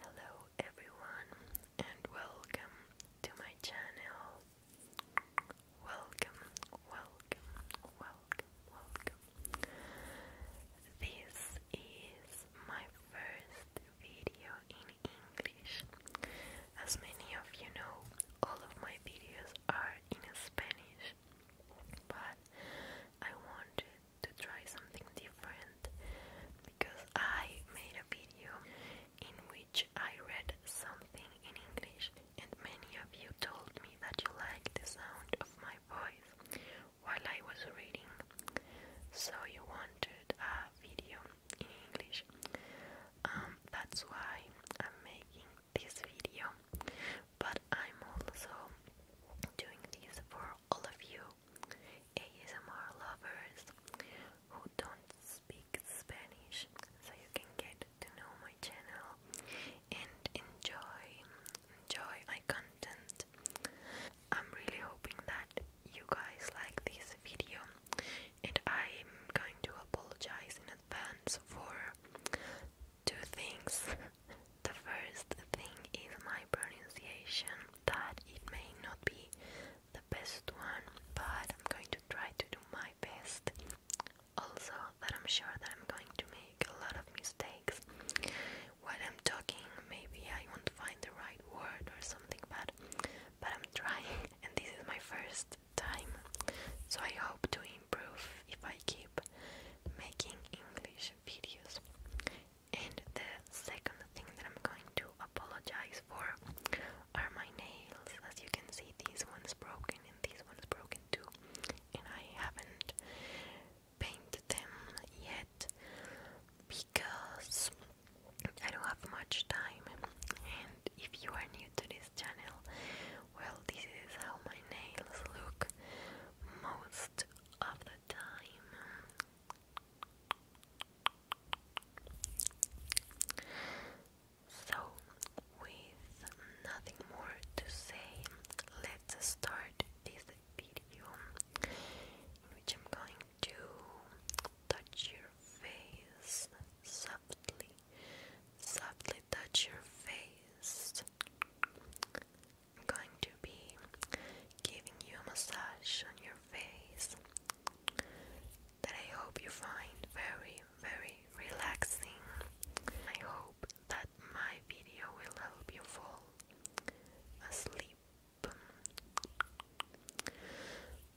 Hello everyone and welcome to my channel. Welcome, welcome, welcome, welcome. This is my first video in English. As many of you know, all of my videos are in Spanish but I wanted to try something different because I made a video in which I read something in English and many of you told me that you liked the sound of my voice while I was reading so you wanted a video in English um, that's why I'm making this video, but I'm also doing this for all of you ASMR lovers who don't speak Spanish, so you can get to know my channel and enjoy enjoy my content. I'm really hoping that you guys like this video and I'm going to apologize in advance for two things. the first thing is my pronunciation, that it may not be the best one, but I'm going to try to do my best. Also, that I'm sure that I'm going to make a lot of mistakes while I'm talking. Maybe I won't find the right word or something, but but I'm trying, and this is my first time, so I hope to improve if I keep making English videos. And the second thing that I'm going to apologize for are my nails. As you can see, these one's broken and these one's broken too. And I haven't painted them yet because I don't have much time. And if you are new to this well, this is how my nails look most of the time. So, with nothing more to say, let's start this video in which I'm going to touch your face softly Softly touch your face. I'm going to be giving you a massage on your face that I hope you find very, very relaxing. I hope that my video will help you fall asleep.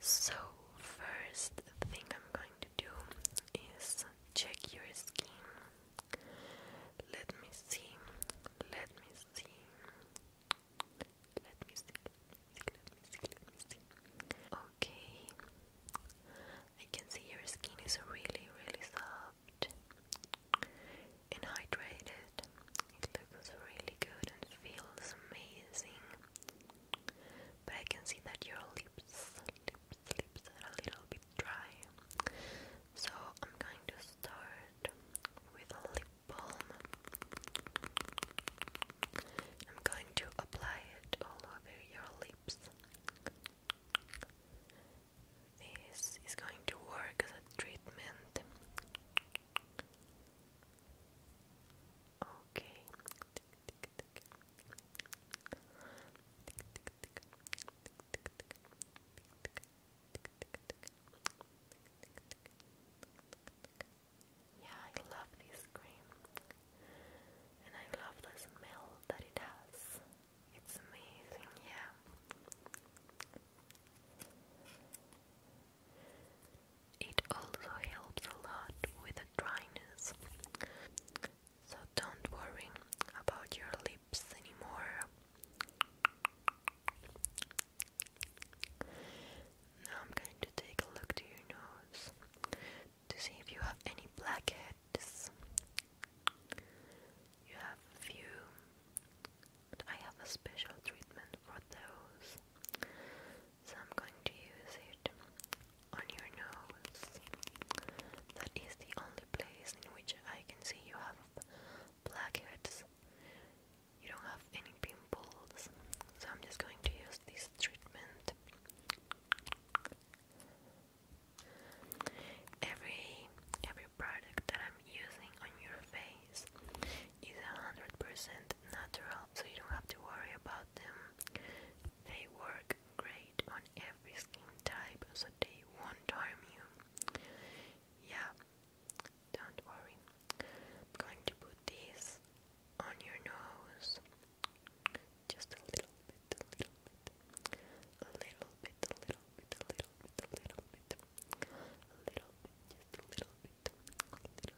So, first thing I'm going to do is check your skin. Let me see. Let me see. Let me see. Okay. I can see your skin is really, really soft and hydrated. It looks really good and feels amazing. But I can see that your lips, lips a little bit dry. So I'm going to start with a lip balm. I'm going to apply it all over your lips. This is going to work as a treatment. Okay. Yeah, I love this cream, and I love the smell that it has. It's amazing, yeah. It also helps a lot with dryness. So don't worry about your lips anymore. Now I'm going to take a look to your nose to see if you have any blackheads. You have a few, I have a special treatment for those. So I'm going to use it on your nose. That is the only place in which I can see you have blackheads. You don't have any pimples. So I'm just going to use this treatment. Every every product that I'm using on your face is a hundred percent natural, so you don't have to worry about them. They work great on every skin type so they won't harm you. Yeah, don't worry. I'm going to put this on your nose. Just a little bit, a little bit. A little bit, a little bit, a little bit, a little bit. A little bit, just a little bit. A little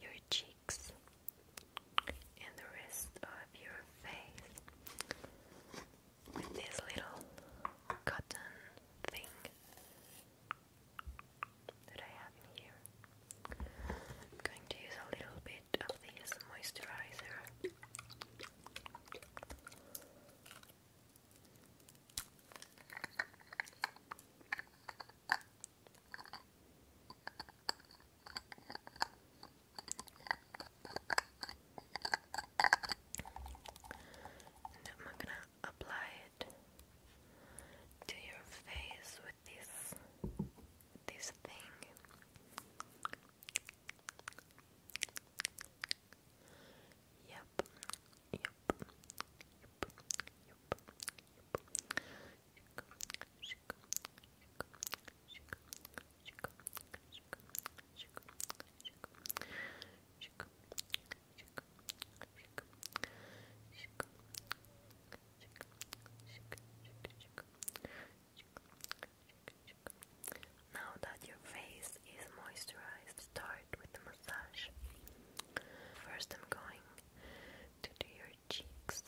your cheeks and the rest of your face with this little cotton thing that I have here. I'm going to use a little bit of this moisturizer. And I'm gonna apply it to your face with this this thing. Yep. Yep. Now that your face is moisturized, start with the massage massage. First, I'm going to do your cheeks.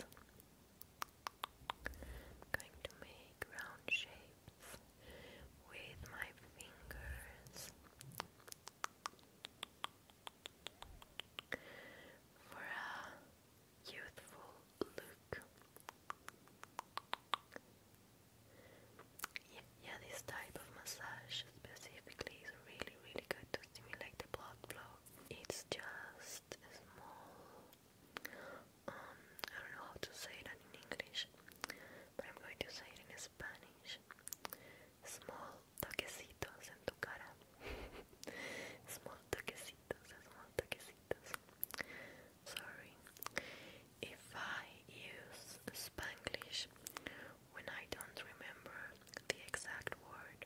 going to make round shapes with my fingers. For a youthful look, yeah, this type of massage specifically is really, really good to stimulate the blood flow. It's just small, um, I don't know how to say that in English, but I'm going to say it in Spanish. Small toquecitos en tu cara. small toquecitos, small toquecitos. Sorry. If I use Spanglish when I don't remember the exact word.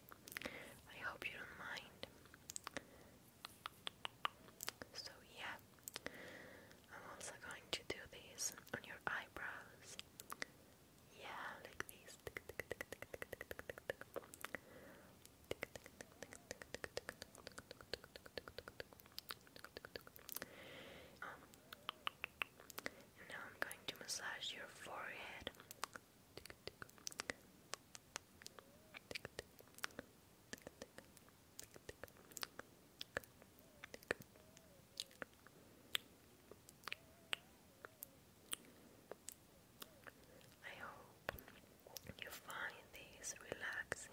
I hope you don't mind. So, yeah, I'm also going to do this on your eyebrows. Yeah, like this. Um, now I'm going to massage your forehead. I hope you find these relaxing.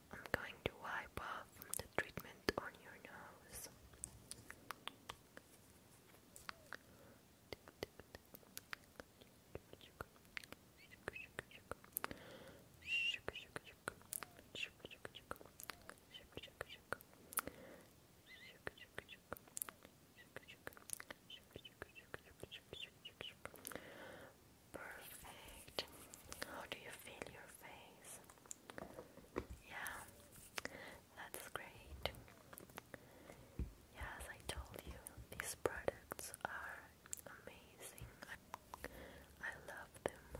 I'm going to wipe off the treatment on your nose. Perfect. How do you feel your face? Yeah, that's great. Yeah, I told you, these products are amazing. I love them.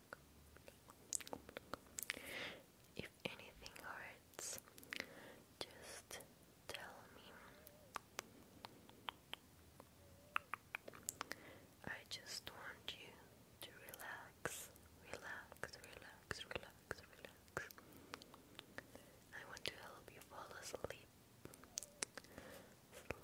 If anything hurts, just tell me. I just want you to relax, relax, relax, relax, relax. I want to help you fall asleep. Sleep,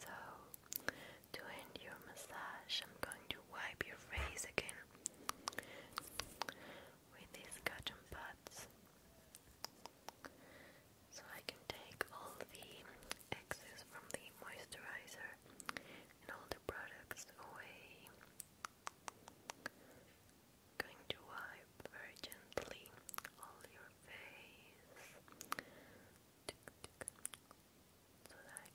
So, to end your massage, I'm going to wipe your face again with these cotton pads. So I can take all the excess from the moisturizer and all the products away. Going to wipe very gently all your face. So I,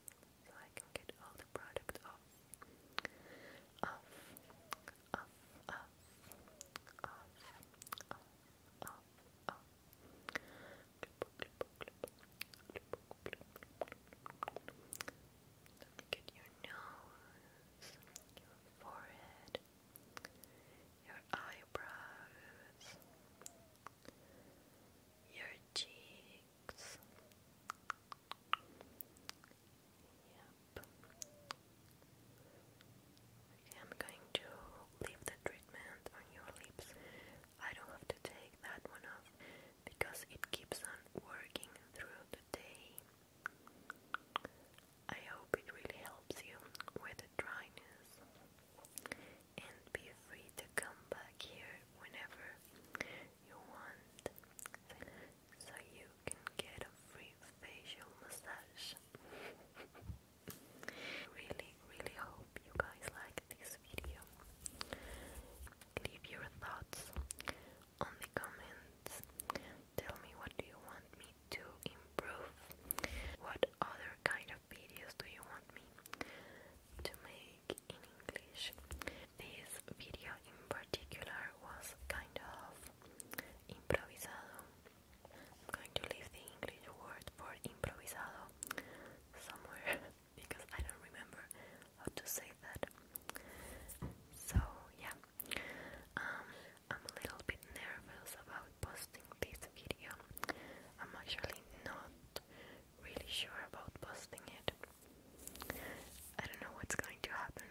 so I can get all the product off off, off, your nose, your forehead, your eyebrows, your cheeks, I'm going to leave the treatment on your lips. I don't have to take that one off because it keeps on working through the day. I hope it really helps you with the dryness and be free to come back here whenever you want so you can get a free facial massage. really, really hope you guys like this video. Leave your thoughts on the comments. Tell me what do you want me to improve? What other kind of videos do you want me to make in English? This video in particular was kind of improvisado. I'm going to leave the English word for improvisado somewhere because I don't remember how to say that. So, yeah, um, I'm a little bit nervous about posting this video. I'm actually not really sure about posting it. I don't know what's going to happen,